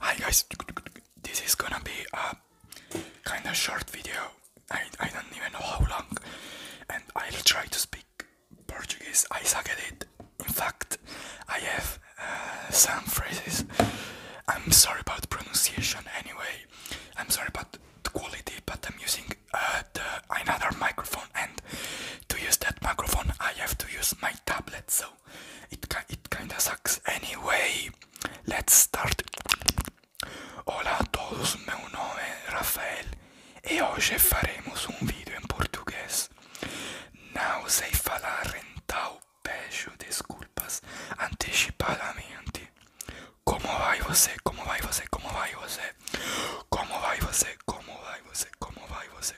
Hi guys, this is gonna be a kind of short video. I, I don't even know how long, and I'll try to speak Portuguese. I suck at it. In fact, I have uh, some phrases. I'm sorry about pronunciation anyway. I'm sorry about the quality, but I'm using uh, another microphone, and to use that microphone, I have to use my tablet. So It, kinda sucks. Anyway, let's start. Olá a todos, meu nome é Rafael e hoje faremos um vídeo em português. Não sei falar, então peço desculpas antecipadamente. Como vai você? Como vai você? Como vai você? Como vai você? Como vai você? Como vai você?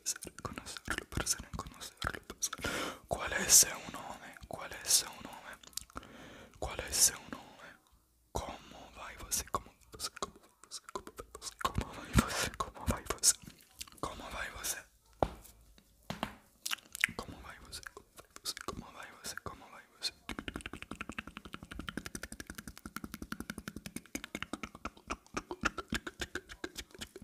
essere, conoscerlo, per essere, conoscerlo, per essere. Qual è se un nome? Qual è se un nome? Qual è se un nome? Come vai você? Come você? Come você? Come vai você? Come vai você? Come vai você? Come vai você? Come vai você? Come vai você?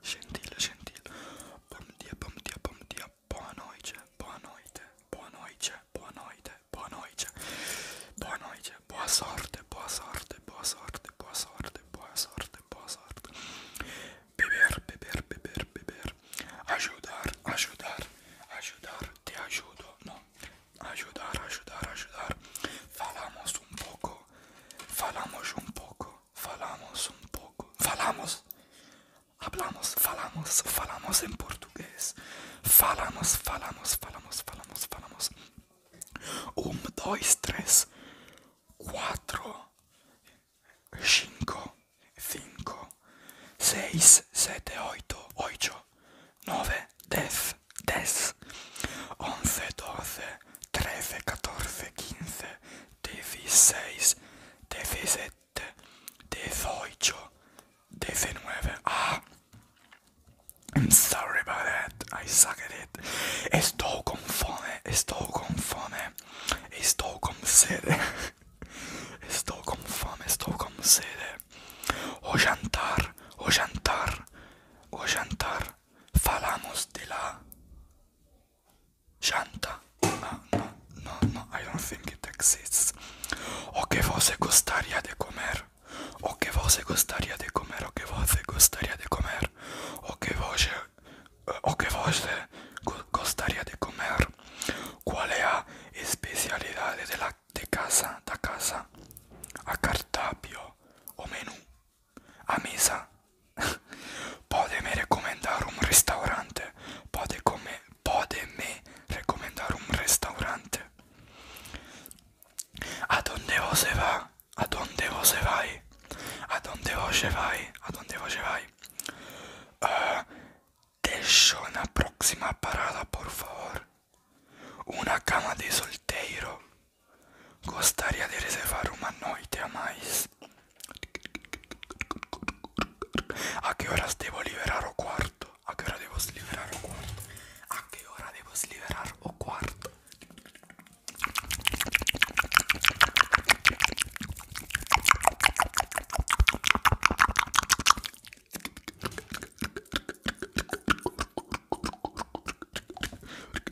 Gentile, gentile. Bom dia, bom dia, bom dia. Boa noite, boa noite, boa noite, boa noite, boa noite. Boa noite, boa sorte, boa sorte, boa sorte, boa sorte, boa sorte, boa sorte. Beber, beber, beber, beber. Ajudar, ajudar, ajudar. Te ajudo, no. Ajudar, ajudar, ajudar. Falamos un poco, falamos un poco. falamos un poco. Falamos. Hablamos, falamos, falamos en portugués. Falamos, falamos, falamos, falamos, falamos. Um, dois, três, quatro, cinco, cinco, seis, sete, oito, oito, nove, dez, dez, onze, doze, treze, quatorze, quinze, 16, 17, 18, 19. Ah! I'm sorry about that. I suck at it. Estou com Estoy Estou Estoy fome. sede. Estou O jantar. O jantar. O jantar. Falamos de la Shanta. No, ah, no, no, no, I don't think it exists. O que você gostaria de comer? O que você gostaria de comer? O que você gostaria de comer? O que você, eh, o que você gostaria de comer? Qual è la specialità della de casa? Da casa? A cartapio o menù? A mesa Podeme recomendar un restaurante Pode come Podeme recomendar un restaurante A donde vos va A donde vos vai A donde vos vai A donde vos vai uh, Deixo una próxima parada por favor Una cama de solteiro Gostaria de reservar uma noite a mais. A que horas devo liberar o quarto? A que hora devo liberar o quarto? A que hora devo liberar o quarto?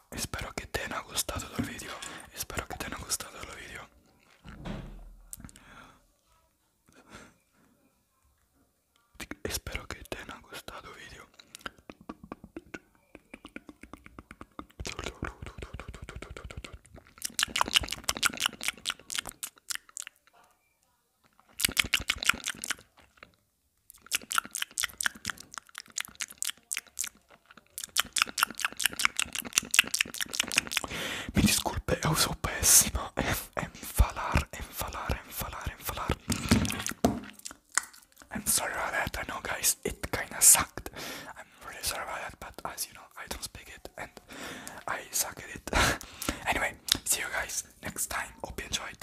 ciao e spero che te ne ha gustato il video e spero che te ne ha gustato il video e spero che te ne ha gustato il video I'm sorry about that. I know, guys, it kinda sucked. I'm really sorry about that, but as you know, I don't speak it and I suck at it. anyway, see you guys next time. Hope you enjoyed.